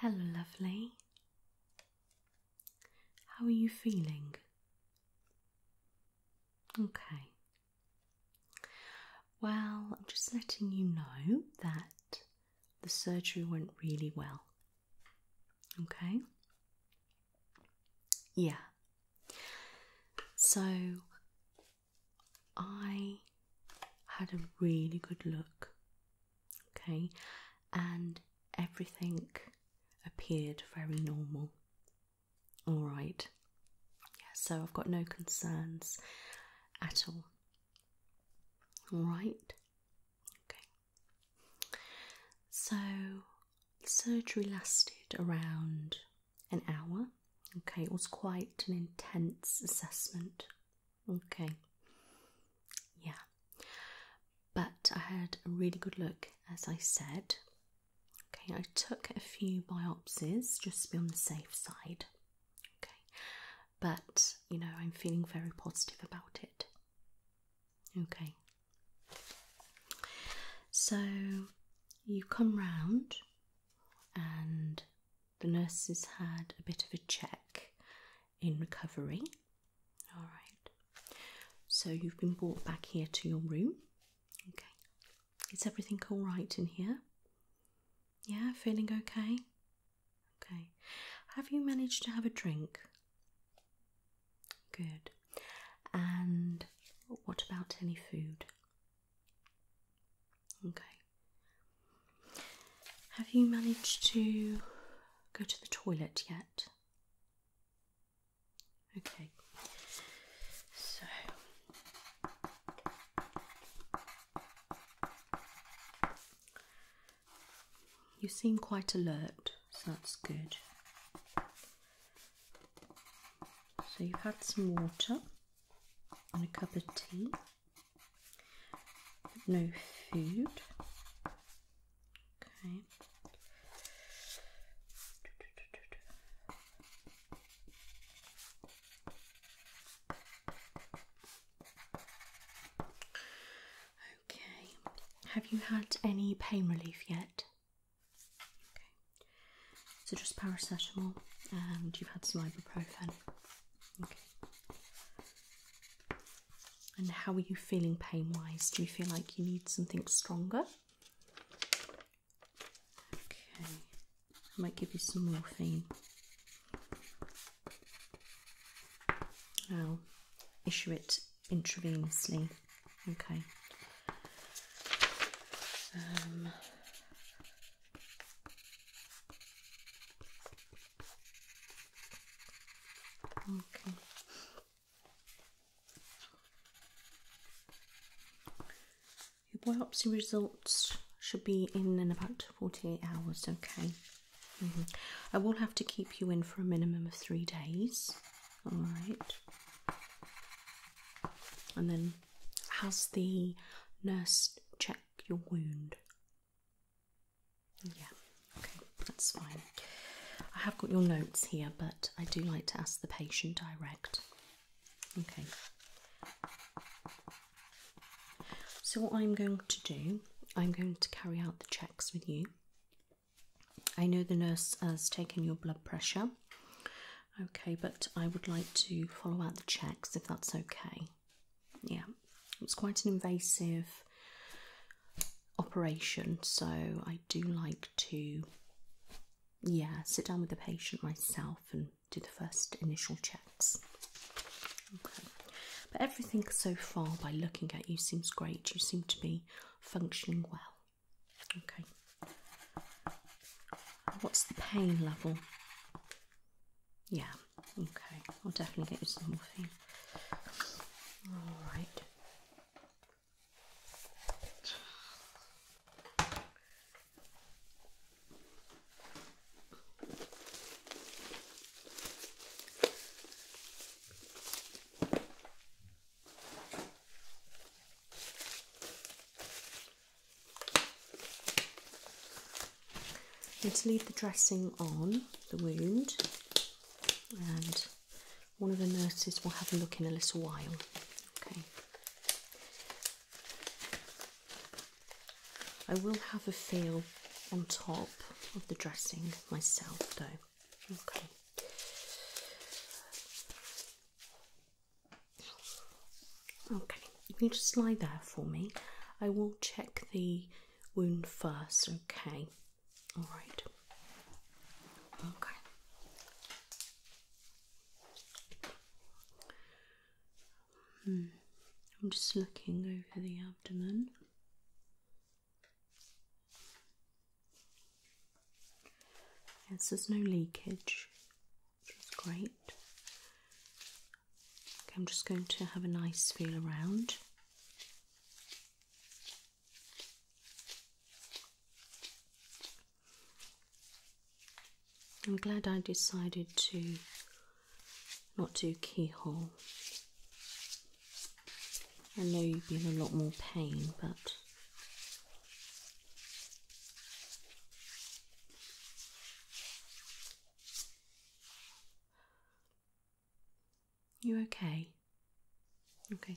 Hello, lovely. How are you feeling? Okay. Well, I'm just letting you know that the surgery went really well. Okay? Yeah. So I had a really good look. Okay? And everything appeared very normal. All right. Yeah, so I've got no concerns at all. Right. Okay. So surgery lasted around an hour. Okay, it was quite an intense assessment. Okay. Yeah. But I had a really good look, as I said. Okay, I took a few biopsies just to be on the safe side. Okay, but you know, I'm feeling very positive about it. Okay, so you come round, and the nurses had a bit of a check in recovery. All right, so you've been brought back here to your room. Okay, is everything all right in here? Yeah, feeling okay? Okay. Have you managed to have a drink? Good. And what about any food? Okay. Have you managed to go to the toilet yet? Okay. So. You seem quite alert, so that's good. So you've had some water and a cup of tea, no food. Okay. Okay. Have you had any pain relief yet? Okay. So just paracetamol and um, you've had some ibuprofen. Okay. And how are you feeling pain wise? Do you feel like you need something stronger? Okay. I might give you some morphine. I'll issue it intravenously. Um, okay. Your biopsy results should be in in about 48 hours, okay. Mm-hmm. I will have to keep you in for a minimum of three days. All right. And then, has the nurse check your wound? Yeah, okay, that's fine. I have got your notes here, but I do like to ask the patient direct. Okay. So, what I'm going to do, I'm going to carry out the checks with you. I know the nurse has taken your blood pressure. Okay, but I would like to follow out the checks if that's okay. Yeah, it's quite an invasive operation, so I do like to, yeah, sit down with the patient myself and do the first initial check. But everything so far, by looking at you, seems great. You seem to be functioning well. Okay. What's the pain level? Yeah, okay. I'll definitely get you some morphine. Alright i to leave the dressing on the wound, and one of the nurses will have a look in a little while. Okay. I will have a feel on top of the dressing myself though. Okay. Okay, you just lie there for me, I will check the wound first, okay? Alright. Okay. Hmm. I'm just looking over the abdomen. Yes, there's no leakage, which is great. Okay, I'm just going to have a nice feel around. I'm glad I decided to not do keyhole. I know you'd be in a lot more pain, but you okay? Okay.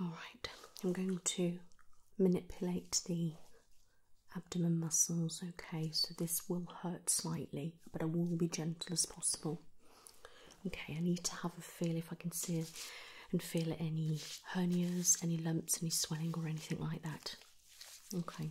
Alright, I'm going to manipulate the abdomen muscles, okay? So this will hurt slightly, but I will be gentle as possible. Okay, I need to have a feel if I can see and feel any hernias, any lumps, any swelling, or anything like that. Okay.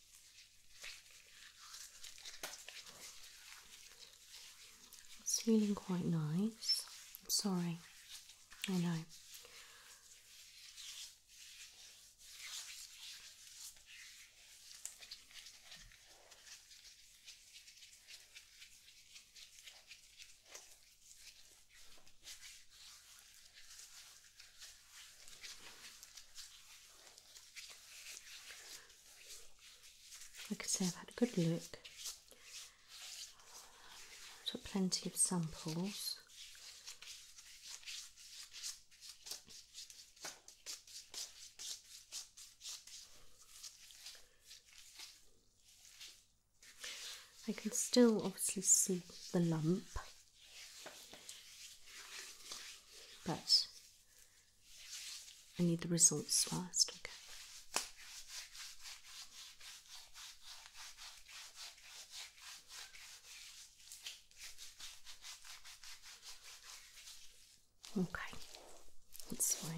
It's feeling quite nice. sorry. I know. I can say, I've had a good look. Took plenty of samples. I can still obviously see the lump but I need the results first, okay? Okay, that's fine.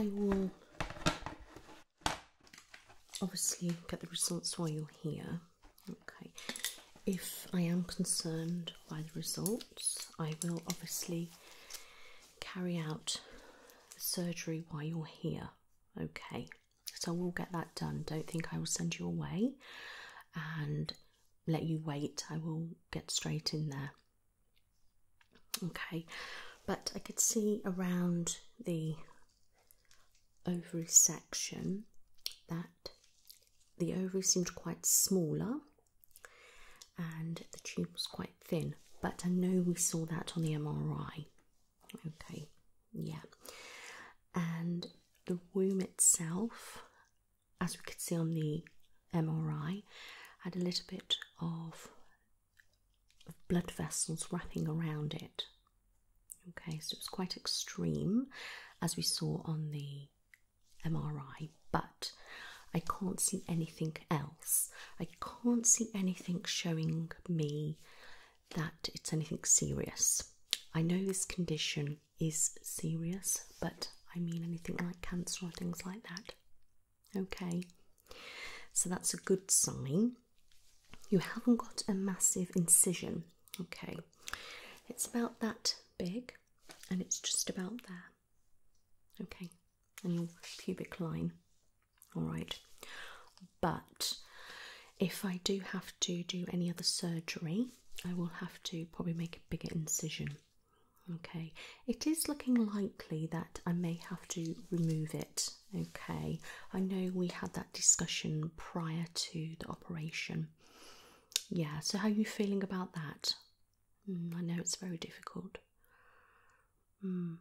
I will obviously get the results while you're here. Okay, if I am concerned by the results, I will obviously carry out the surgery while you're here. Okay. So we'll get that done. Don't think I will send you away and let you wait. I will get straight in there. Okay, but I could see around the ovary section that the ovary seemed quite smaller and the tube was quite thin. But I know we saw that on the MRI. Okay, yeah. And the womb itself, as we could see on the MRI, had a little bit of, of blood vessels wrapping around it. Okay, so it was quite extreme as we saw on the MRI, but I can't see anything else. I can't see anything showing me that it's anything serious. I know this condition is serious, but I mean anything like cancer or things like that. Okay, so that's a good sign. You haven't got a massive incision. Okay, it's about that big and it's just about there. Okay, and your pubic line. All right, but if I do have to do any other surgery, I will have to probably make a bigger incision. Okay, it is looking likely that I may have to remove it. Okay, I know we had that discussion prior to the operation. Yeah, so how are you feeling about that? Hmm, I know it's very difficult. Mm.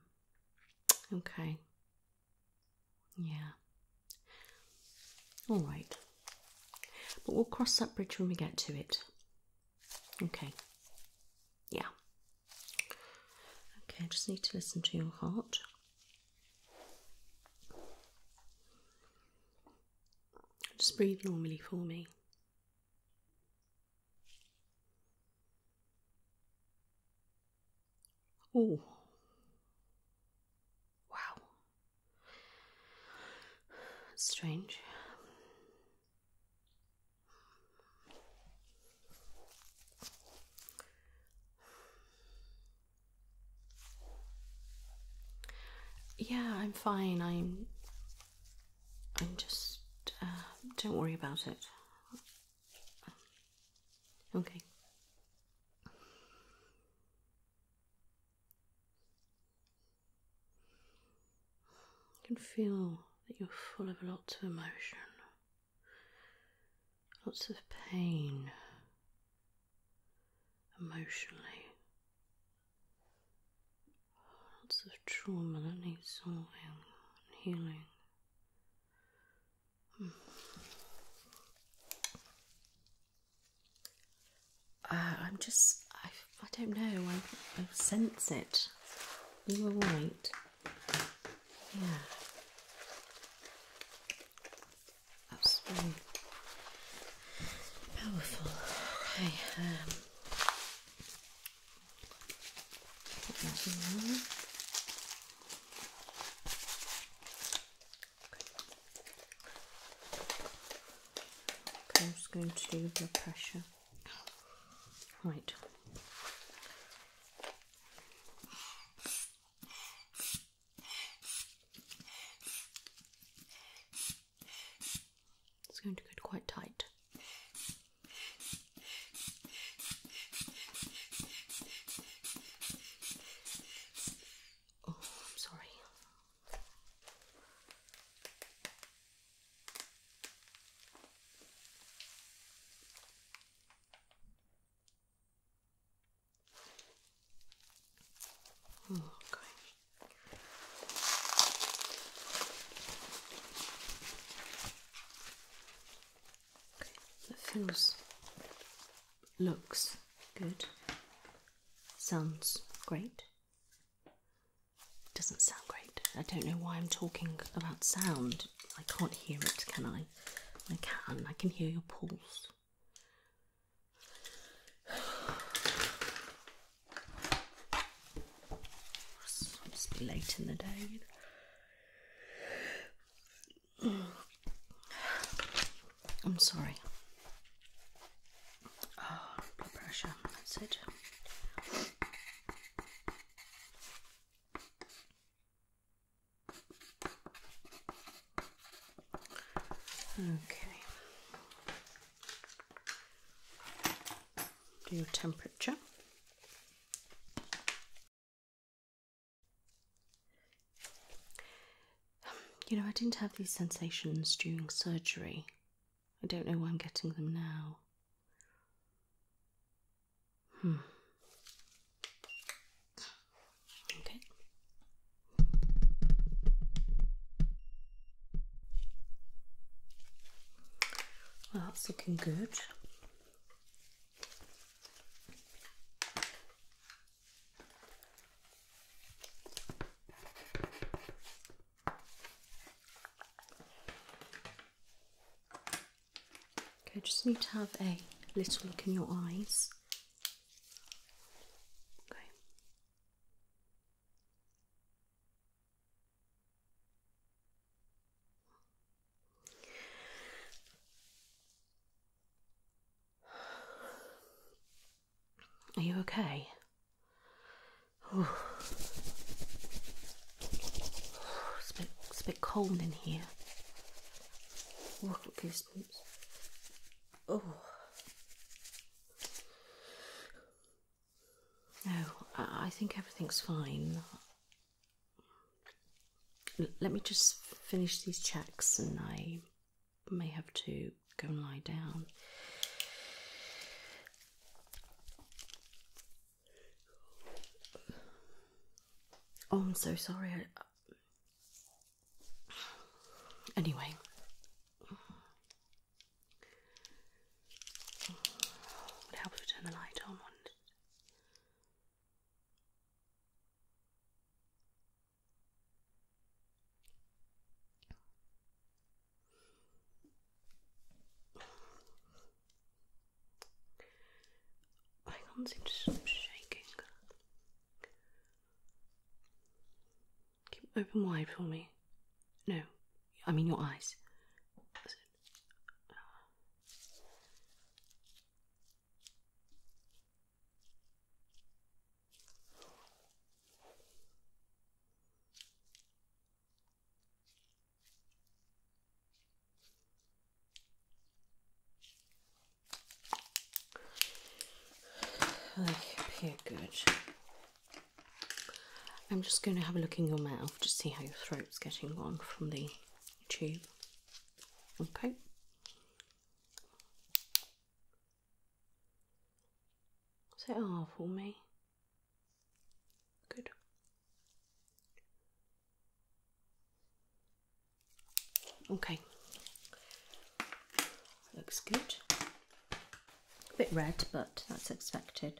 Okay, yeah. All right. But we'll cross that bridge when we get to it. Okay. Yeah. Okay, I just need to listen to your heart. Just breathe normally for me. Oh. Wow. strange. Yeah, I'm fine. I'm I'm just uh, don't worry about it. Okay. I can feel that you're full of lots of emotion, lots of pain emotionally, lots of trauma that needs solving and healing. Uh, I'm just, I, I don't know, I, I sense it. You were right. Yeah. That's powerful. Okay, um, I'm just going to do blood pressure. Right. It's going to get quite tight. Oh, I'm sorry. Oh, okay. okay, that feels looks good, sounds great. Doesn't sound great. I don't know why I'm talking about sound. I can't hear it, can I? I can. I can hear your pulse. It's late in the day. I'm sorry. Ah, blood pressure, that's it. Okay. Do your temperature. You know, I didn't have these sensations during surgery. I don't know why I'm getting them now. Hmm. Okay. that's looking good. Okay, just need to have a little look in your eyes. Okay. Are you okay? it's, a bit, cold in here. Oh, i No, I, think everything's fine. let me just finish these checks and I may have to go and lie down. Oh, I'm so sorry. Anyway. Would help if turn the light on. I can't seem to stop shaking. Keep open wide for me. No, I mean your eyes. I Okay, good. I'm just going to have a look in your mouth to see how your throat's getting on from the tube. Okay. Say R for me. Good. Okay. Looks good. A bit red, but that's expected.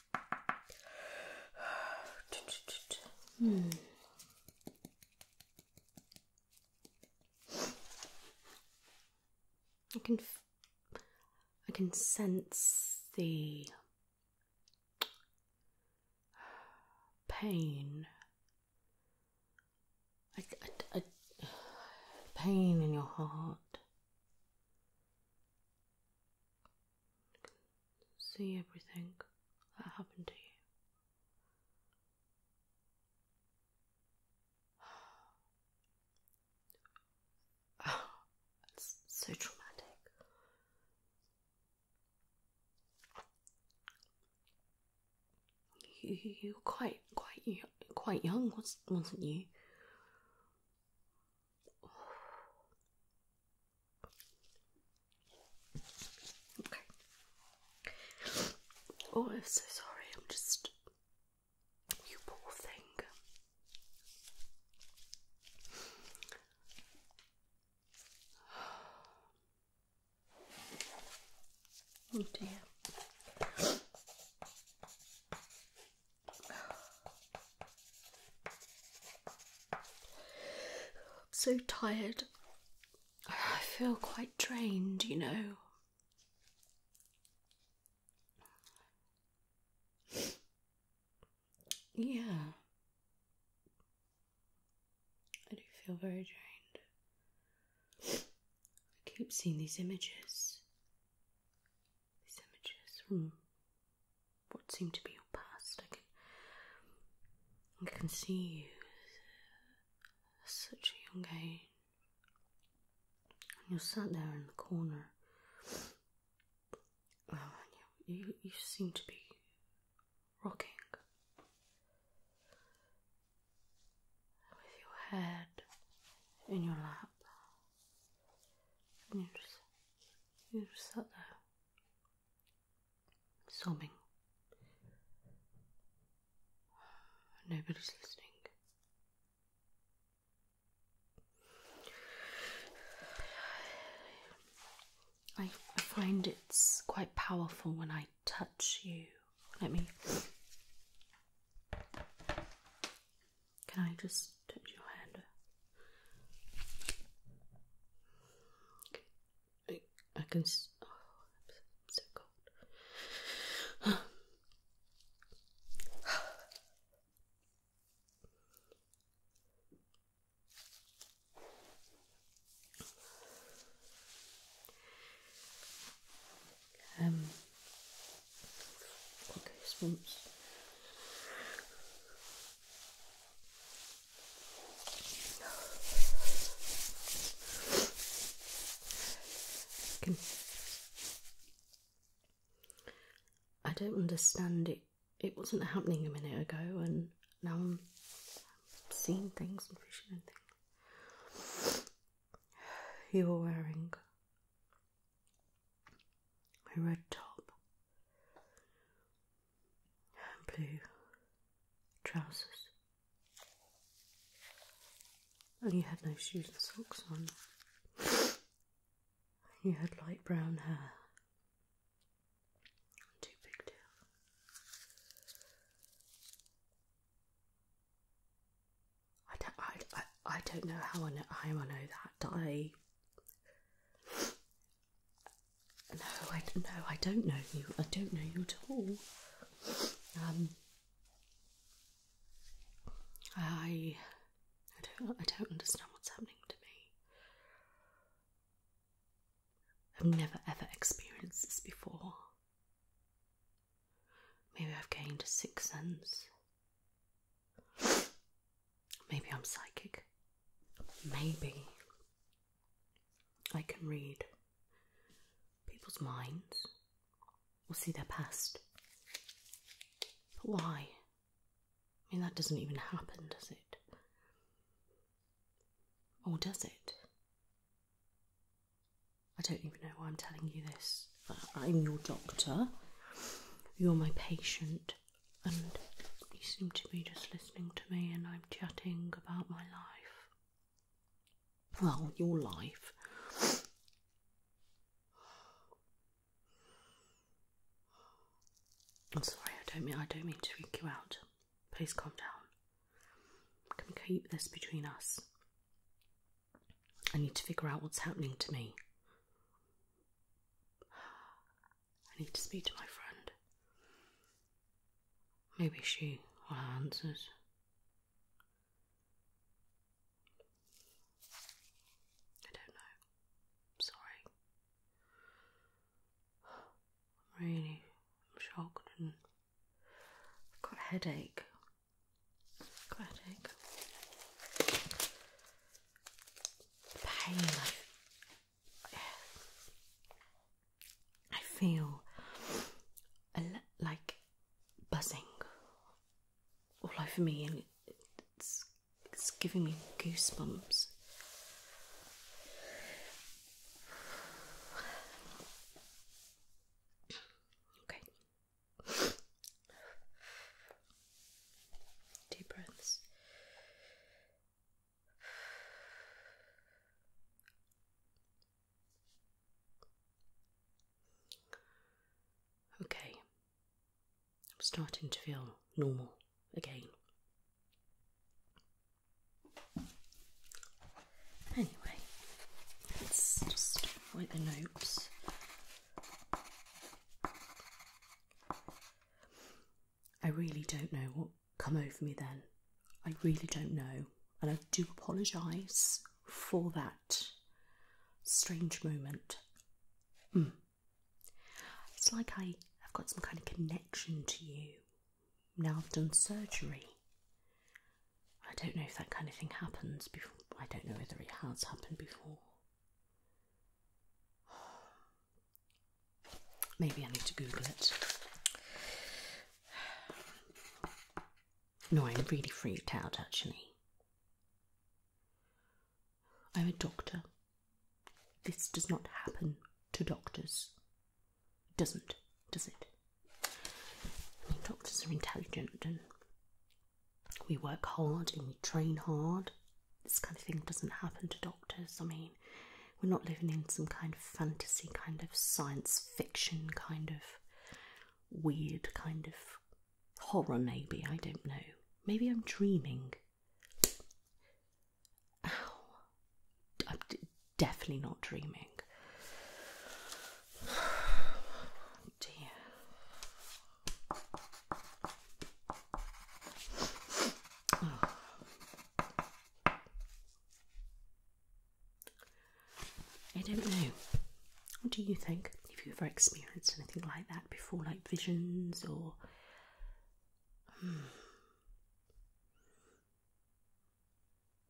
Hmm. I can, I can sense the pain. I, I, pain in your heart see everything that happened to you. Oh, it's so traumatic. You, were quite, quite, quite young, wasn't you? Okay. Oh, I'm so sorry. I'm just. You poor thing. Oh dear. Oh, I'm so tired. I feel quite drained, you know. Yeah. I do feel very drained. I keep seeing these images. These images from hmm what seemed to be your past. I can, see you such a young age. And you sat there in the corner. and you, you, you seem to be rocking with your head in your lap. And you just, you just sat there sobbing. Nobody's listening. I, I find it's quite powerful when I touch you. Let me. Can I just touch your hand? I, can. Oh, so, cold. um. Okay, I don't understand it. It wasn't happening a minute ago, and now I'm seeing things and visioning things. You're wearing a red top and blue trousers. And you had no shoes and socks on. You had light brown hair. Too big deal. I don't. I, I, don't know how I know, how I know that. I no, I no, I don't know you. I don't know you at all. Um, I, don't, I don't understand what's happening to me. I've never ever experienced this before. Maybe I've gained a sixth sense. Maybe I'm psychic. Maybe I can read people's minds or see their past. But why? I mean, that doesn't even happen, does it? Or does it? I don't even know why I'm telling you this, I'm your doctor. You're my patient, and you seem to be just listening to me, and I am chatting about my life. Well, your life. I'm sorry, I don't mean I don't mean to freak you out. Please calm down. Can we keep this between us? I need to figure out what's happening to me. I need to speak to my friend. Maybe she will have answers. I don't know. sorry. really I'm shocked and I've got a headache. headache. pain I feel like buzzing all over me, and it's, it's giving me goosebumps. Okay. Deep breaths. Okay, I'm starting to feel normal again. Anyway, let's just write the notes. I really don't know what come over me then. I really don't know. And I do apologise for that strange moment. Hmm. It's like I've got some kind of connection to you. Now I've done surgery. I don't know if that kind of thing happens before. I don't know whether it has happened before. Maybe I need to Google it. No, I'm really freaked out actually. I'm a doctor. This does not happen to doctors. It doesn't, does it? I mean, doctors are intelligent and we work hard and we train hard. This kind of thing doesn't happen to doctors. I mean, we're not living in some kind of fantasy, kind of science fiction, kind of weird, kind of horror, maybe. I don't know. Maybe I'm dreaming. definitely not dreaming. Oh I don't know. What do you think? Have you ever experienced anything like that before, like visions or? Hmm.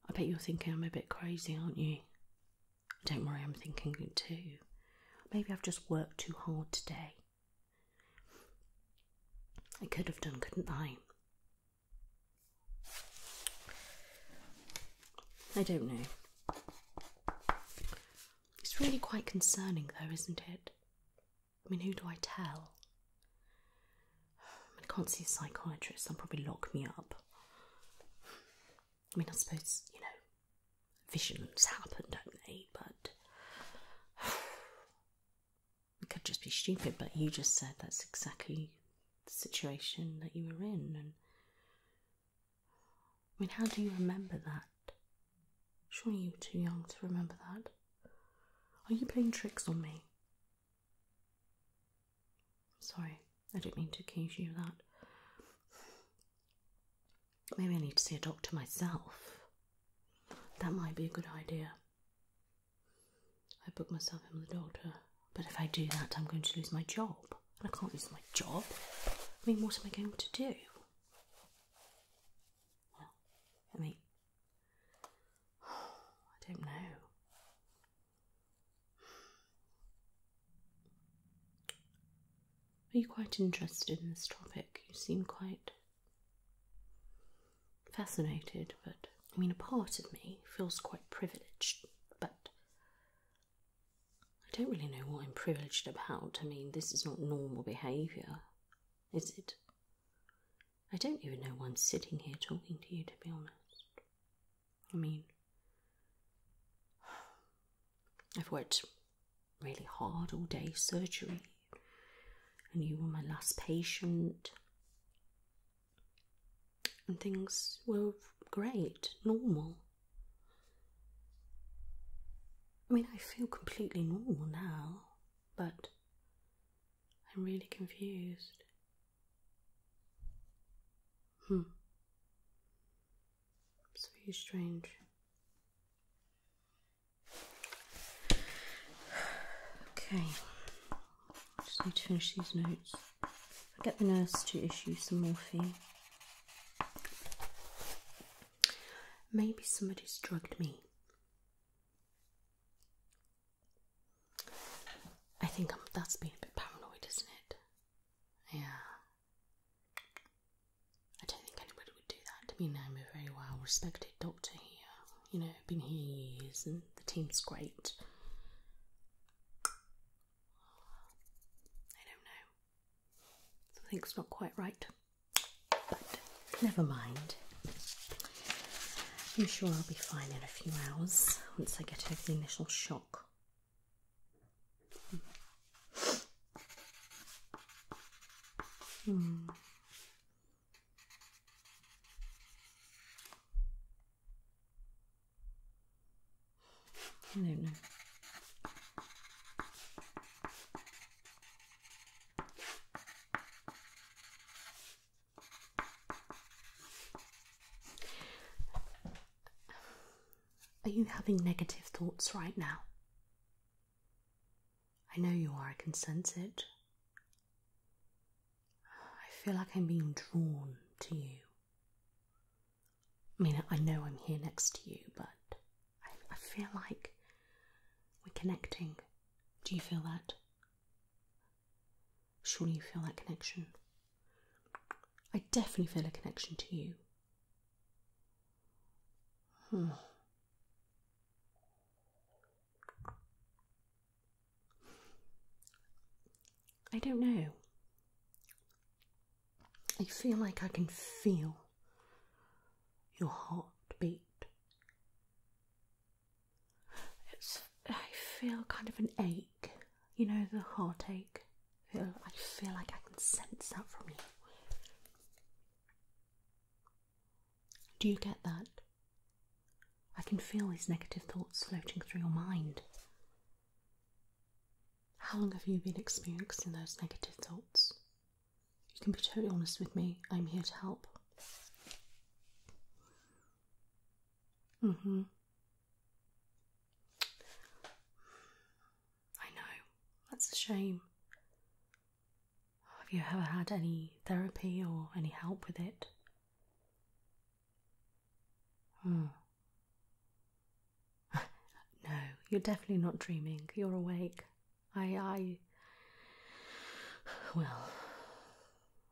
I bet you're thinking I'm a bit crazy, aren't you? Don't worry, I'm thinking it too. Maybe I've just worked too hard today. I could have done, couldn't I? I don't know. It's really quite concerning, though, isn't it? I mean, who do I tell? I can't see a psychiatrist, they'll probably lock me up. I mean, I suppose, you know, visions happen, don't they? But it could just be stupid, but you just said that's exactly the situation that you were in. I mean, how do you remember that? Surely you were too young to remember that. Are you playing tricks on me? Sorry, I didn't mean to accuse you of that. Maybe I need to see a doctor myself. That might be a good idea. I booked myself in with the doctor. But if I do that, I'm going to lose my job. I can't lose my job. I mean, what am I going to do? Well, I mean, I don't know. Are you quite interested in this topic? You seem quite fascinated, but I mean, a part of me feels quite privileged, but I don't really know what I'm privileged about. I mean, this is not normal behaviour, is it? I don't even know why I'm sitting here talking to you, to be honest. I mean, I've worked really hard all day, surgery, and you were my last patient and things were great, normal. I mean, I feel completely normal now, but I'm really confused. Hmm. It's very strange. Okay. Just need to finish these notes. I'll get the nurse to issue some morphine. Maybe somebody's drugged me. I think I'm, that's a bit paranoid, isn't it? Yeah. I don't think anybody would do that. I mean, I'm a very well respected doctor here you know, been here years and the team's great. I don't know. Something's not quite right. But never mind. I'm sure I'll be fine in a few hours once I get over the initial shock. Hmm. Hmm. I don't know. Are you having negative thoughts right now? I know you are, I can sense it. I feel like I'm being drawn to you. I mean, I know I'm here next to you, but I, feel like we're connecting. Do you feel that? Surely you feel that connection. I definitely feel a connection to you. Hmm. I don't know. I feel like I can feel your heartbeat. It's, I feel kind of an ache, you know, the heartache. I feel, I feel like I can sense that from you. Do you get that? I can feel these negative thoughts floating through your mind. How long have you been experiencing those negative thoughts? You can be totally honest with me, I'm here to help. Mm hmm. I know, that's a shame. Have you ever had any therapy or any help with it? Hmm. no, you're definitely not dreaming. You're awake. I, I. Well,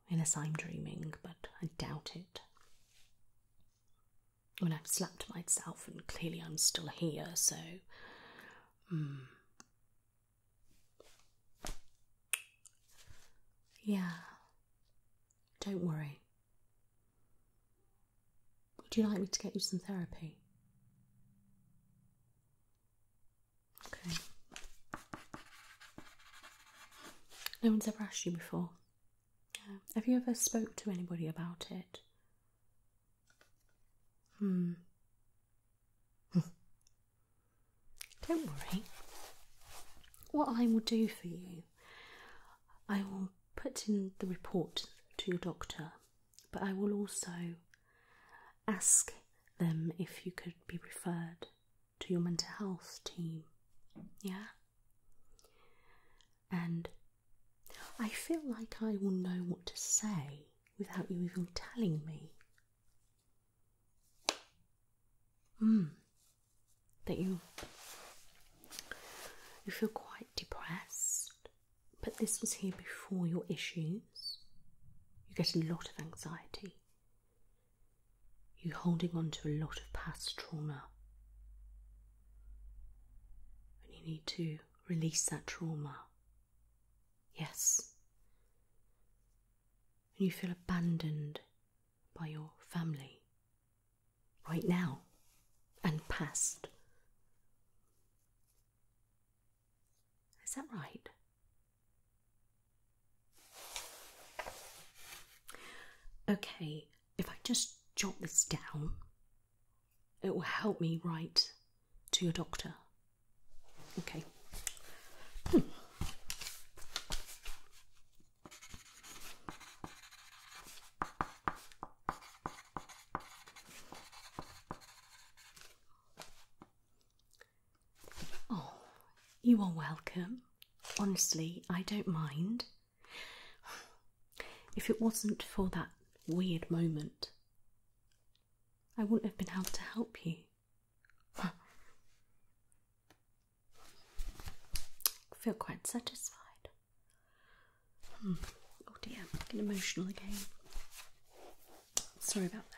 unless I'm dreaming, but I doubt it. When I've slapped myself, and clearly I'm still here, so. Hmm. Yeah. Don't worry. Would you like me to get you some therapy? Okay. No one's ever asked you before. have you ever spoke to anybody about it? Hmm. Don't worry. What I will do for you, I will put in the report to your doctor, but I will also ask them if you could be referred to your mental health team. Yeah? And I feel like I will know what to say without you even telling me. Mm that you you feel quite depressed, but this was here before your issues. You get a lot of anxiety. You're holding on to a lot of past trauma. And you need to release that trauma. Yes and you feel abandoned by your family right now and past. Is that right? Okay, if I just jot this down, it will help me write to your doctor. Okay. Hmm. Oh, you are welcome. Honestly, I don't mind. If it wasn't for that weird moment, I wouldn't have been able to help you. I feel quite satisfied. Hmm. Oh dear, I'm getting emotional again. Sorry about that.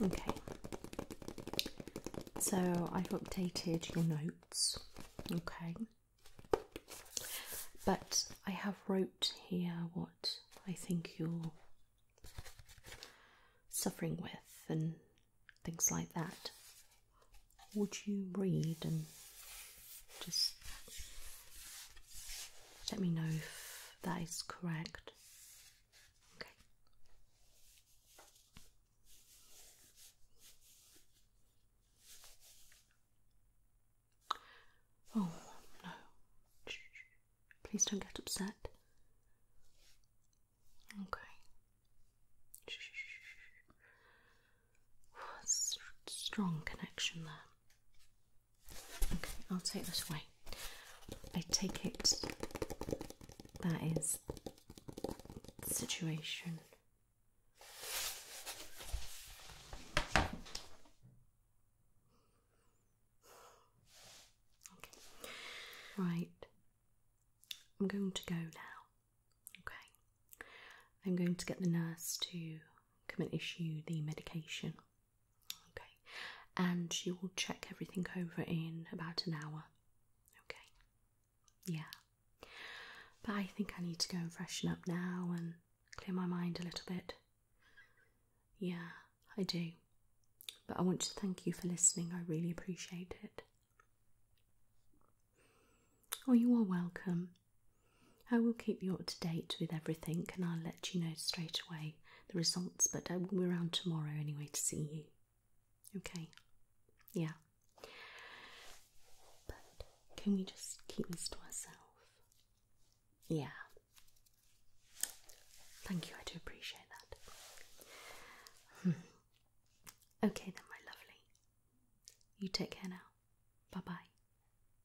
Okay, so I've updated your notes, okay, but I have wrote here what I think you're suffering with and things like that. Would you read and just let me know if that is correct. Okay. Oh no. Please don't get upset. Okay. Strong connection there. Okay, I'll take this way. I take it that is the situation. Okay. Right. I'm going to go now. Okay. I'm going to get the nurse to come and issue the medication. Okay, and she will check everything over in about an hour. Okay, yeah. But I think I need to go and freshen up now and clear my mind a little bit. Yeah, I do. But I want to thank you for listening, I really appreciate it. Oh, you are welcome. I will keep you up to date with everything and I'll let you know straight away the results, but I will be around tomorrow anyway to see you. Okay? Yeah. But can we just keep this to ourselves? Yeah. Thank you, I do appreciate that. Okay, then, my lovely. You take care now. Bye bye.